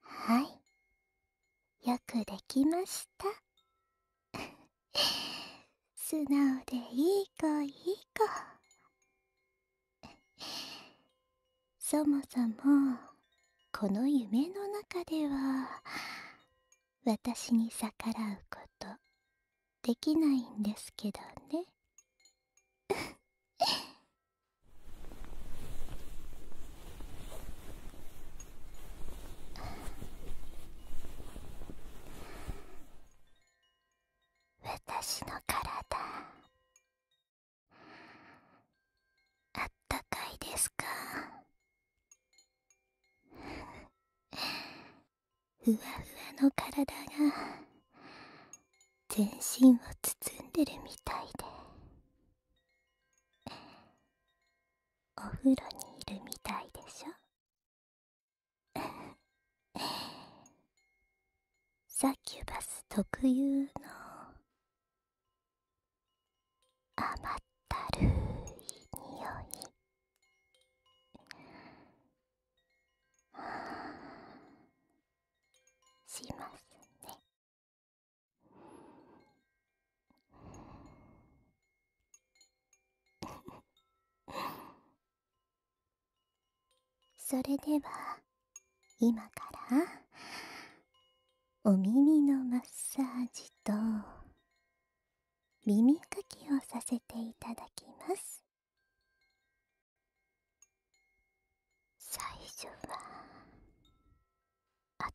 はいよくできました 素直でいい子いい子そもそもこの夢の中では私に逆らうことできないんですけどね私の体あったかいですかふわふわの体が全身を包んでるみたいでお風呂にいるみたいでしょサキュバス特有の甘ったるい匂い しますねそれでは今からお耳のマッサージと耳かきをさせていただきます最初は暖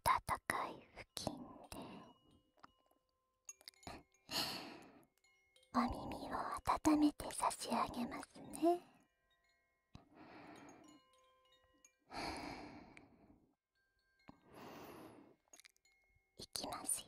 かい付近でお耳を温めて差し上げますねいきますよ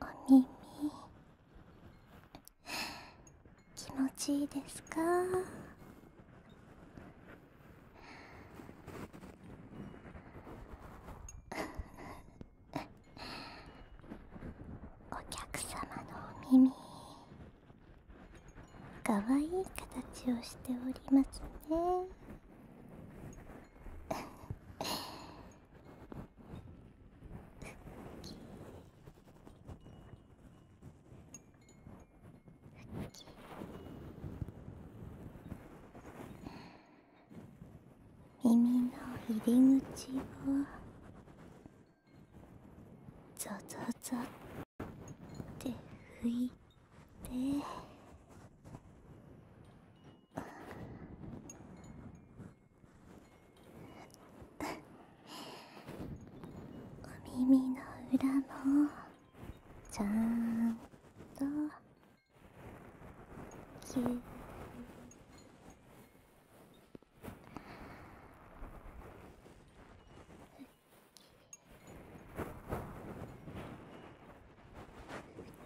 お耳気持ちいいですか お客様のお耳かわいい形をしておりますね耳の入り口をザザザって拭いて。お耳の裏もちゃんとキュッきふっ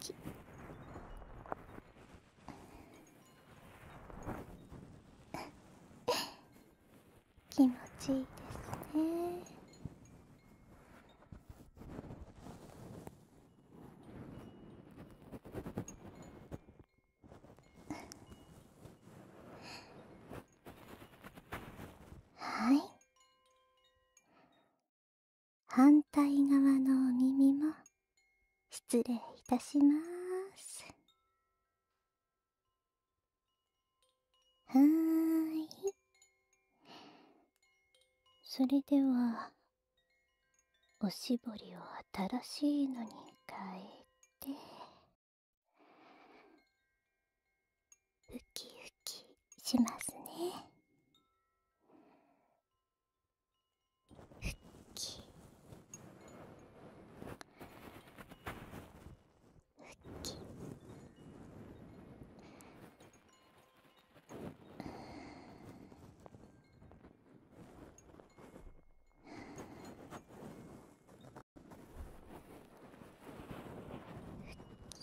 き。気持ちいいですねはい反対側のお耳も失礼いたしますはーいそれではおしぼりを新しいのに変えてウキウキしますね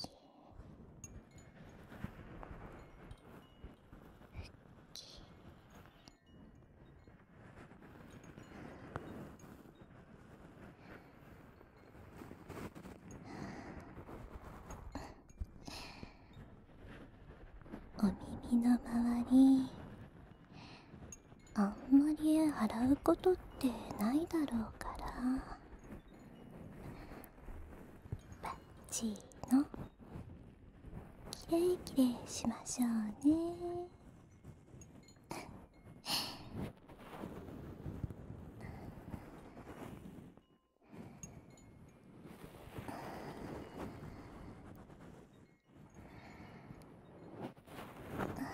きお耳の周りあんまり洗うことってないだろうからバッチのきれいきれいしましょうねあ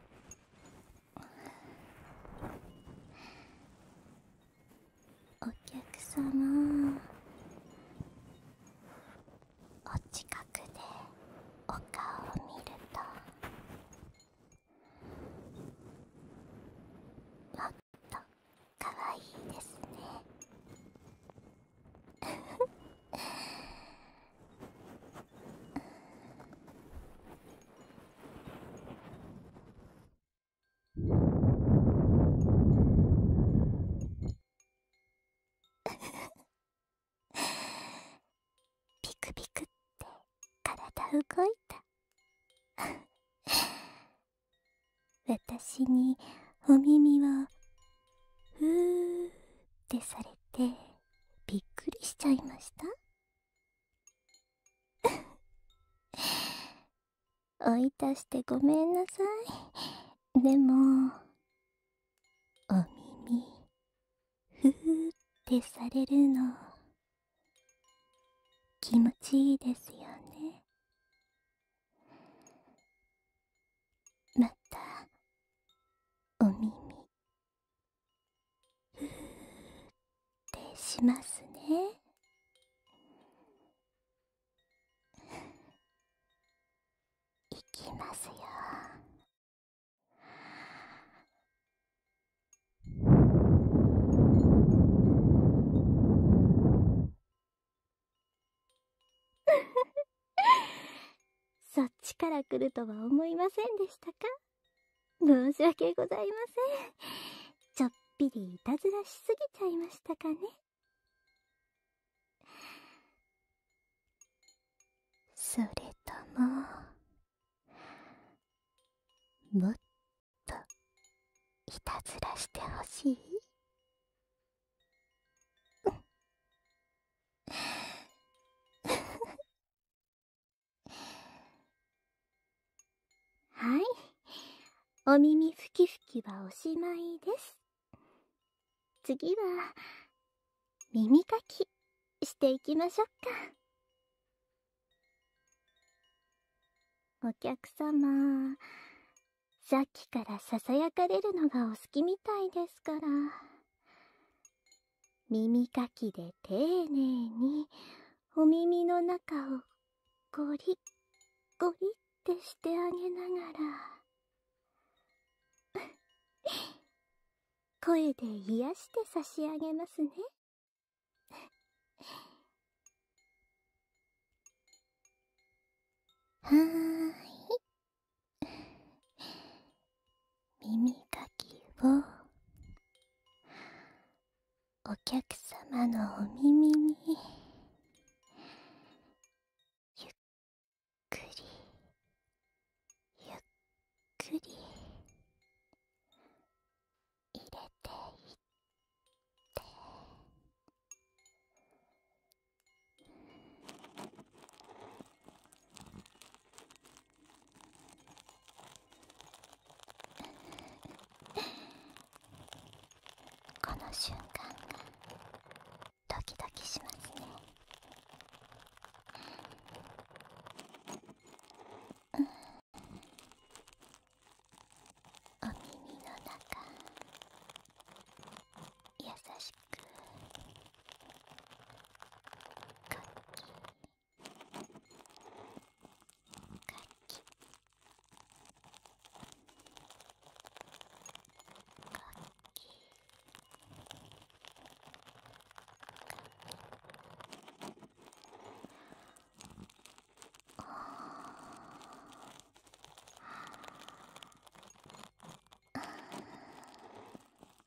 お客様お近くでお顔を見るともっとかわいいですねビクビクって体動いた私にお耳をふーってされてびっくりしちゃいました 追い出してごめんなさいでもお耳ふーってされるの気持ちいいですよねまたお耳ふーってしますね。いきますよ。そっちから来るとは思いませんでしたか申し訳ございません。ちょっぴりいたずらしすぎちゃいましたかね。それとも、もっと、いたずらしてほしい Ha はい。お耳ふきふきはおしまいです。次は、耳かきしていきましょうか。お客様、さっきからささやかれるのがお好きみたいですから、耳かきで丁寧にお耳の中をゴリッゴリってしてあげながら 声で癒して差し上げますねはーい耳かきをお客様のお耳にゆっくりゆっくり入れていってこの瞬間がドキドキしますねお耳の中優しくかきは器楽器ああ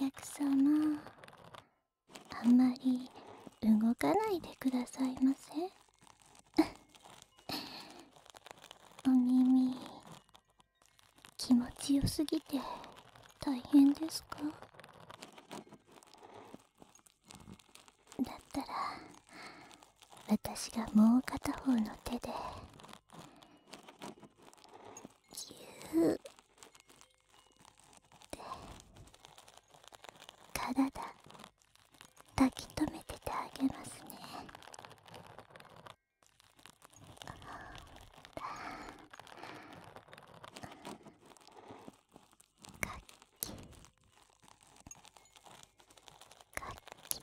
お客様あんまり動かないでくださいませ お耳気持ちよすぎて大変ですかだったら私がもう片方の手でギュー体抱き留めててあげますね楽器楽器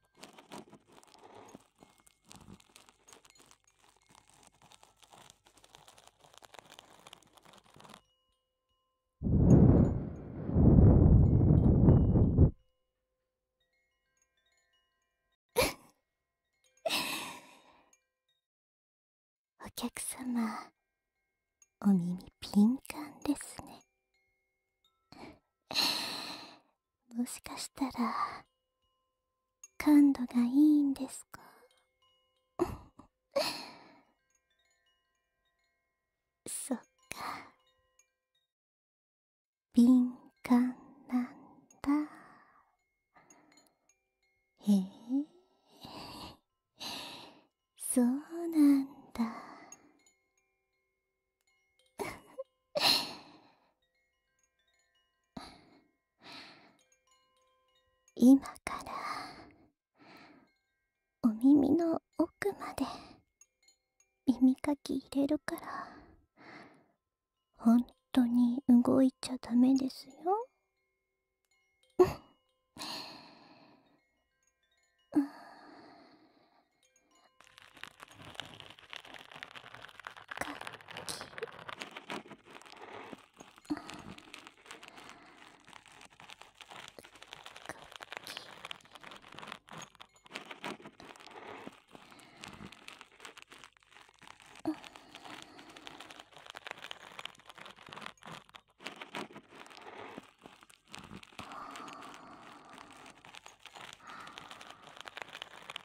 お客様お耳敏感ですねもしかしたら感度がいいんですか そっか敏感なんだへえ そうなんだ 今からお耳の奥まで耳かき入れるからほ本当に動いちゃダメですようん、っっあ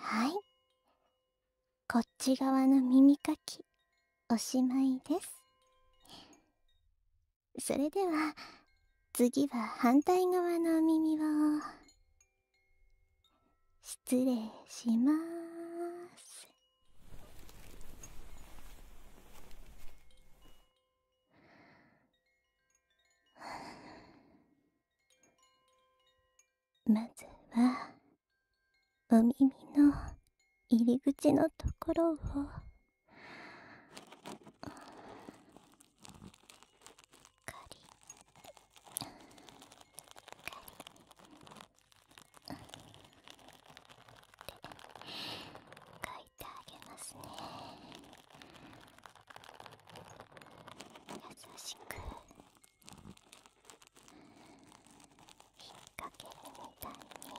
はいこっち側の耳かきおしまいですそれでは次は反対側のお耳を失礼します まずはお耳の入り口のところを。かかり…り…。っ書いてあげますね優しく引っ掛けるみたいに。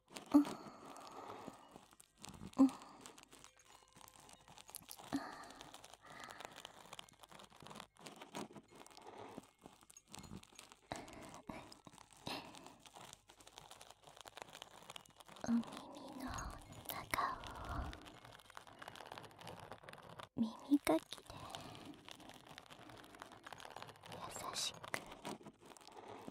ん、ん、ん…お耳の中を耳かきで優しく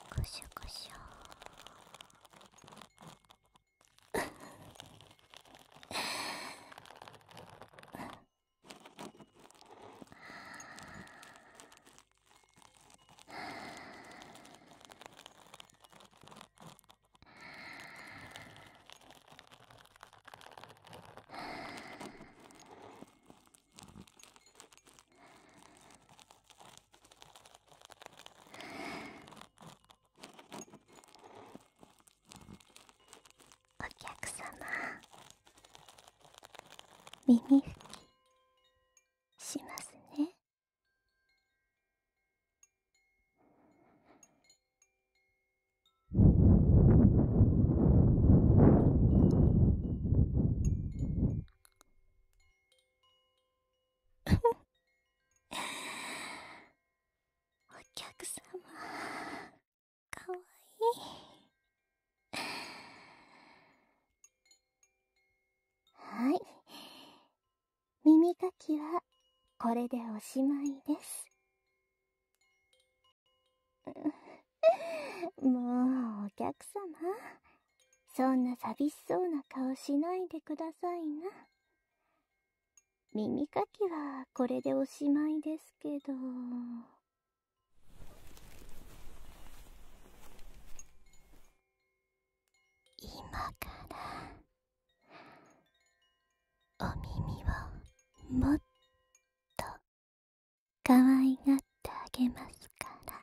おこしょこしょあはお客様耳拭きしますね お客様かわいい。耳かきはこれでおしまいです もうお客様そんな寂しそうな顔しないでくださいな耳かきはこれでおしまいですけど今からお耳をもっとかわいがってあげますから